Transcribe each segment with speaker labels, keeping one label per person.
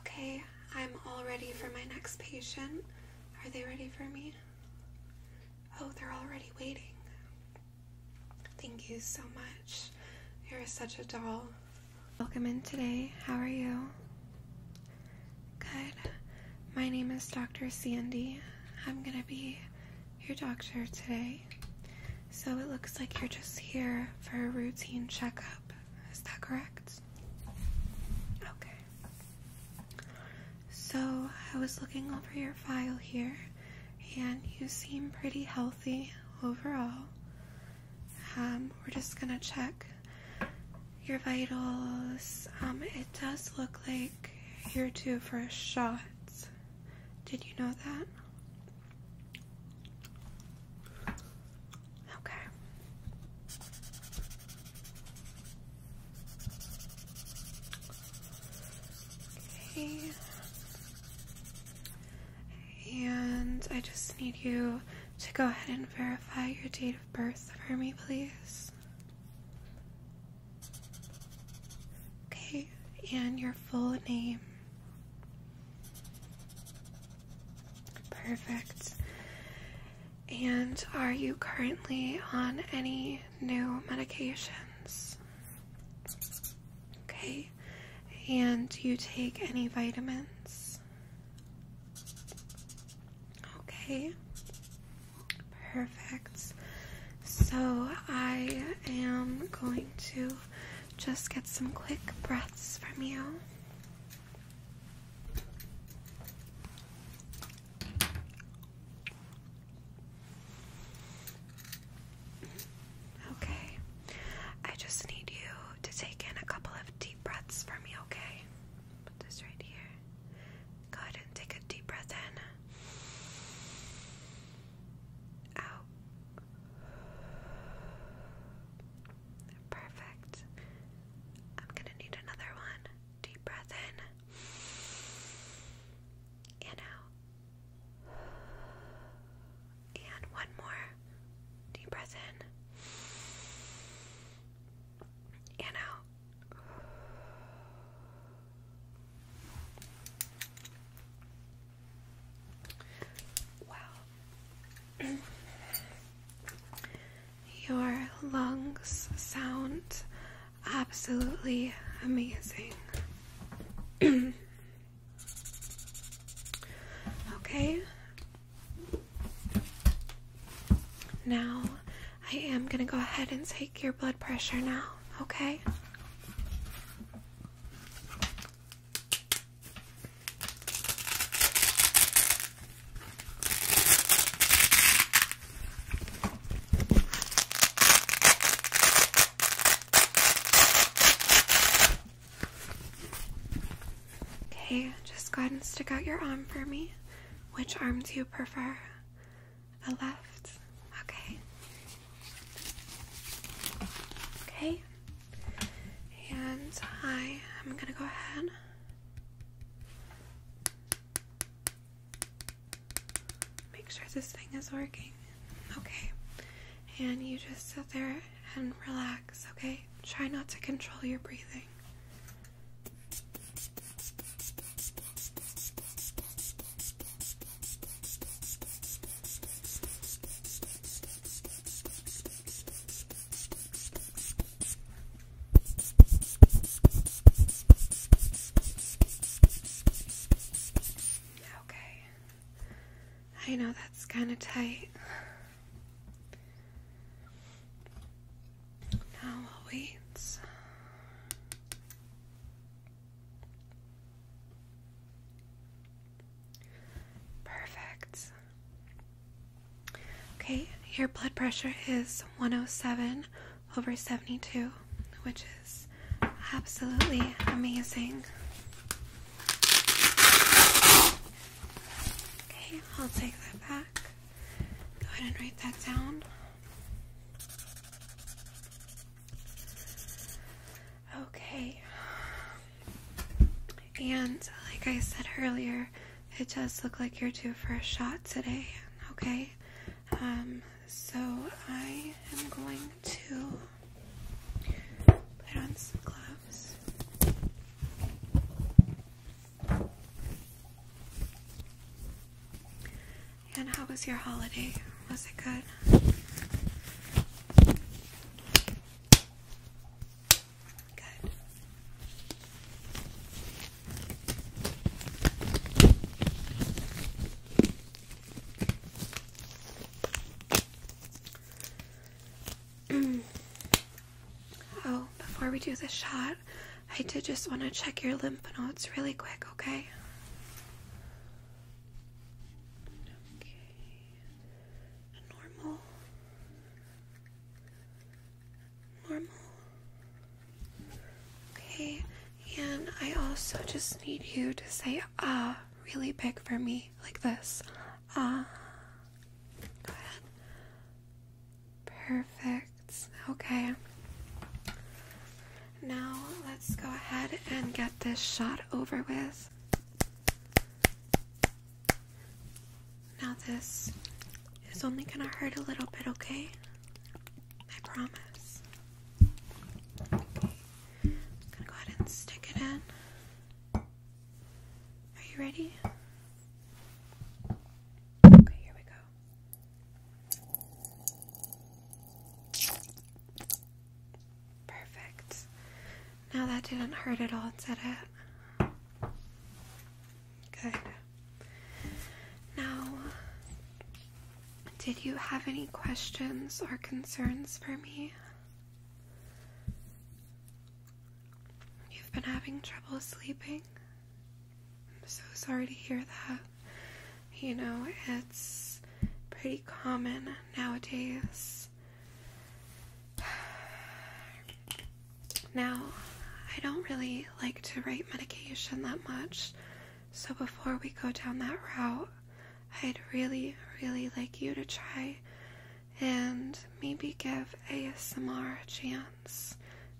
Speaker 1: Okay, I'm all ready for my next patient. Are they ready for me? Oh, they're already waiting. Thank you so much. You're such a doll. Welcome in today. How are you? Good. My name is Dr. Sandy. I'm gonna be your doctor today. So it looks like you're just here for a routine checkup. Is that correct? Okay. So I was looking over your file here, and you seem pretty healthy overall. Um, we're just gonna check your vitals. Um, it does look like you're due for a Did you know that? Okay. Okay. And I just need you to go ahead and verify your date of birth for me, please. Okay, and your full name. Perfect. And are you currently on any new medications? Okay. And you take any vitamins? Okay. Perfect. So I am going to just get some quick breaths from you. Okay. I just need you to take in a couple of deep breaths for me, okay? Put this right here. Go ahead and take a deep breath in. Out. Perfect. I'm gonna need another one. Deep breath in and out. And one more. Deep breath in and out. Wow. Your lungs sound absolutely amazing. okay. Now, I am going to go ahead and take your blood pressure now, okay? Okay, just go ahead and stick out your arm for me. Which arm do you prefer? The left? Okay. Okay, and I am going to go ahead make sure this thing is working. Okay. And you just sit there and relax, okay? Try not to control your breathing. Okay. I know that's kind of tight. Now I'll wait. Perfect. Okay, your blood pressure is 107 over 72, which is absolutely amazing. Okay, I'll take that back. Go ahead and write that down. Okay. And like I said earlier, it does look like you're due for a shot today, okay? Um, so I am going to put on some gloves. And how was your holiday? Was it good? oh, before we do the shot, I did just want to check your lymph nodes really quick, Okay normal, normal. Okay, and I also just need you to say ah really big for me, like this. Ah. Perfect. Okay. Now let's go ahead and get this shot over with. Now, this is only gonna hurt a little bit, okay? I promise. gonna go ahead and stick it in. Are you ready? Okay, here we go. Perfect. Now that didn't hurt at all, did it? Good. Now, did you have any questions or concerns for me? You've been having trouble sleeping? I'm so sorry to hear that. You know, it's pretty common nowadays. Now, I don't really like to write medication that much, so before we go down that route, I'd really, really like you to try and maybe give ASMR a chance.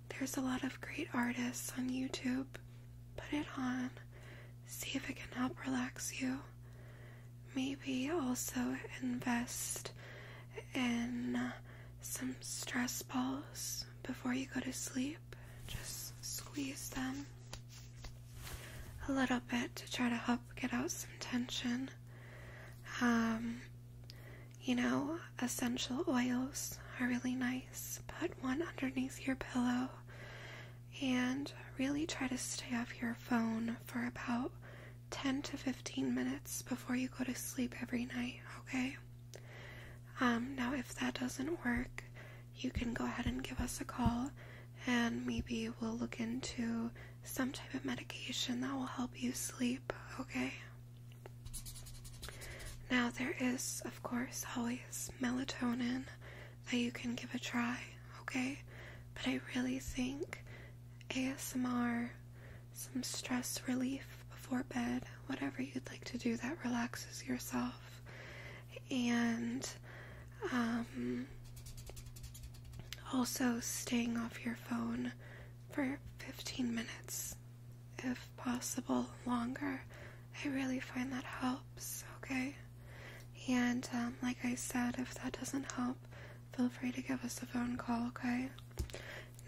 Speaker 1: There's a lot of great artists on YouTube. Put it on, see if it can help relax you. Maybe also invest in some stress balls before you go to sleep. Just squeeze them a little bit to try to help get out some tension. Um, you know, essential oils are really nice. Put one underneath your pillow and really try to stay off your phone for about 10 to 15 minutes before you go to sleep every night, okay? Um, now, if that doesn't work, you can go ahead and give us a call and maybe we'll look into some type of medication that will help you sleep, okay? Now, there is, of course, always melatonin that you can give a try, okay? But I really think ASMR, some stress relief before bed, whatever you'd like to do that relaxes yourself, and um, also staying off your phone for 15 minutes, if possible, longer. I really find that helps, okay? And um, like I said, if that doesn't help, feel free to give us a phone call, okay?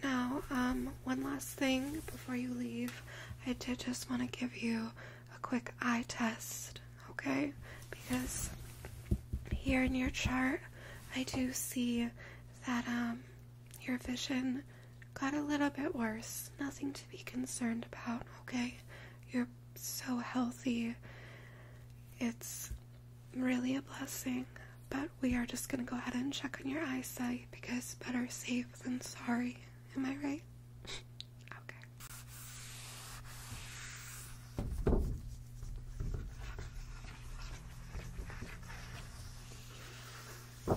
Speaker 1: Now, um, one last thing before you leave, I did just want to give you a quick eye test, okay? Because here in your chart, I do see that um, your vision got a little bit worse. Nothing to be concerned about, okay? You're so healthy. It's really a blessing. But we are just going to go ahead and check on your eyesight because better safe than sorry. Am I right? okay.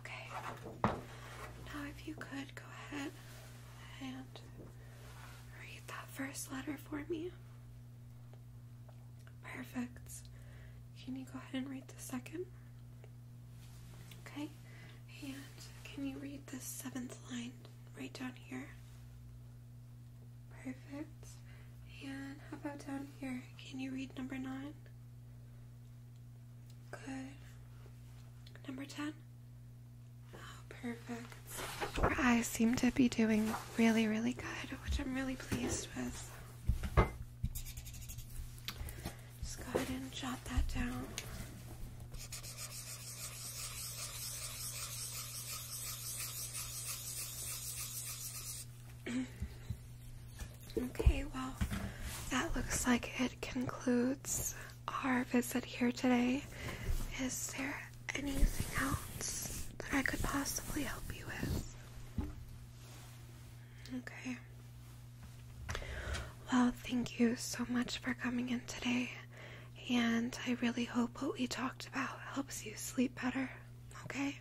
Speaker 1: Okay. Now, if you could go ahead and read that first letter for me. Perfect. Can you go ahead and read the second? Okay. And can you read the seventh line right down here? Perfect. And how about down here? Can you read number nine? Good. Number 10. Oh, perfect. Your eyes seem to be doing really, really good, which I'm really pleased with. Just go ahead and jot that down. Okay, well, that looks like it concludes our visit here today. Is there anything else that I could possibly help you with? Okay. Well, thank you so much for coming in today, and I really hope what we talked about helps you sleep better, okay?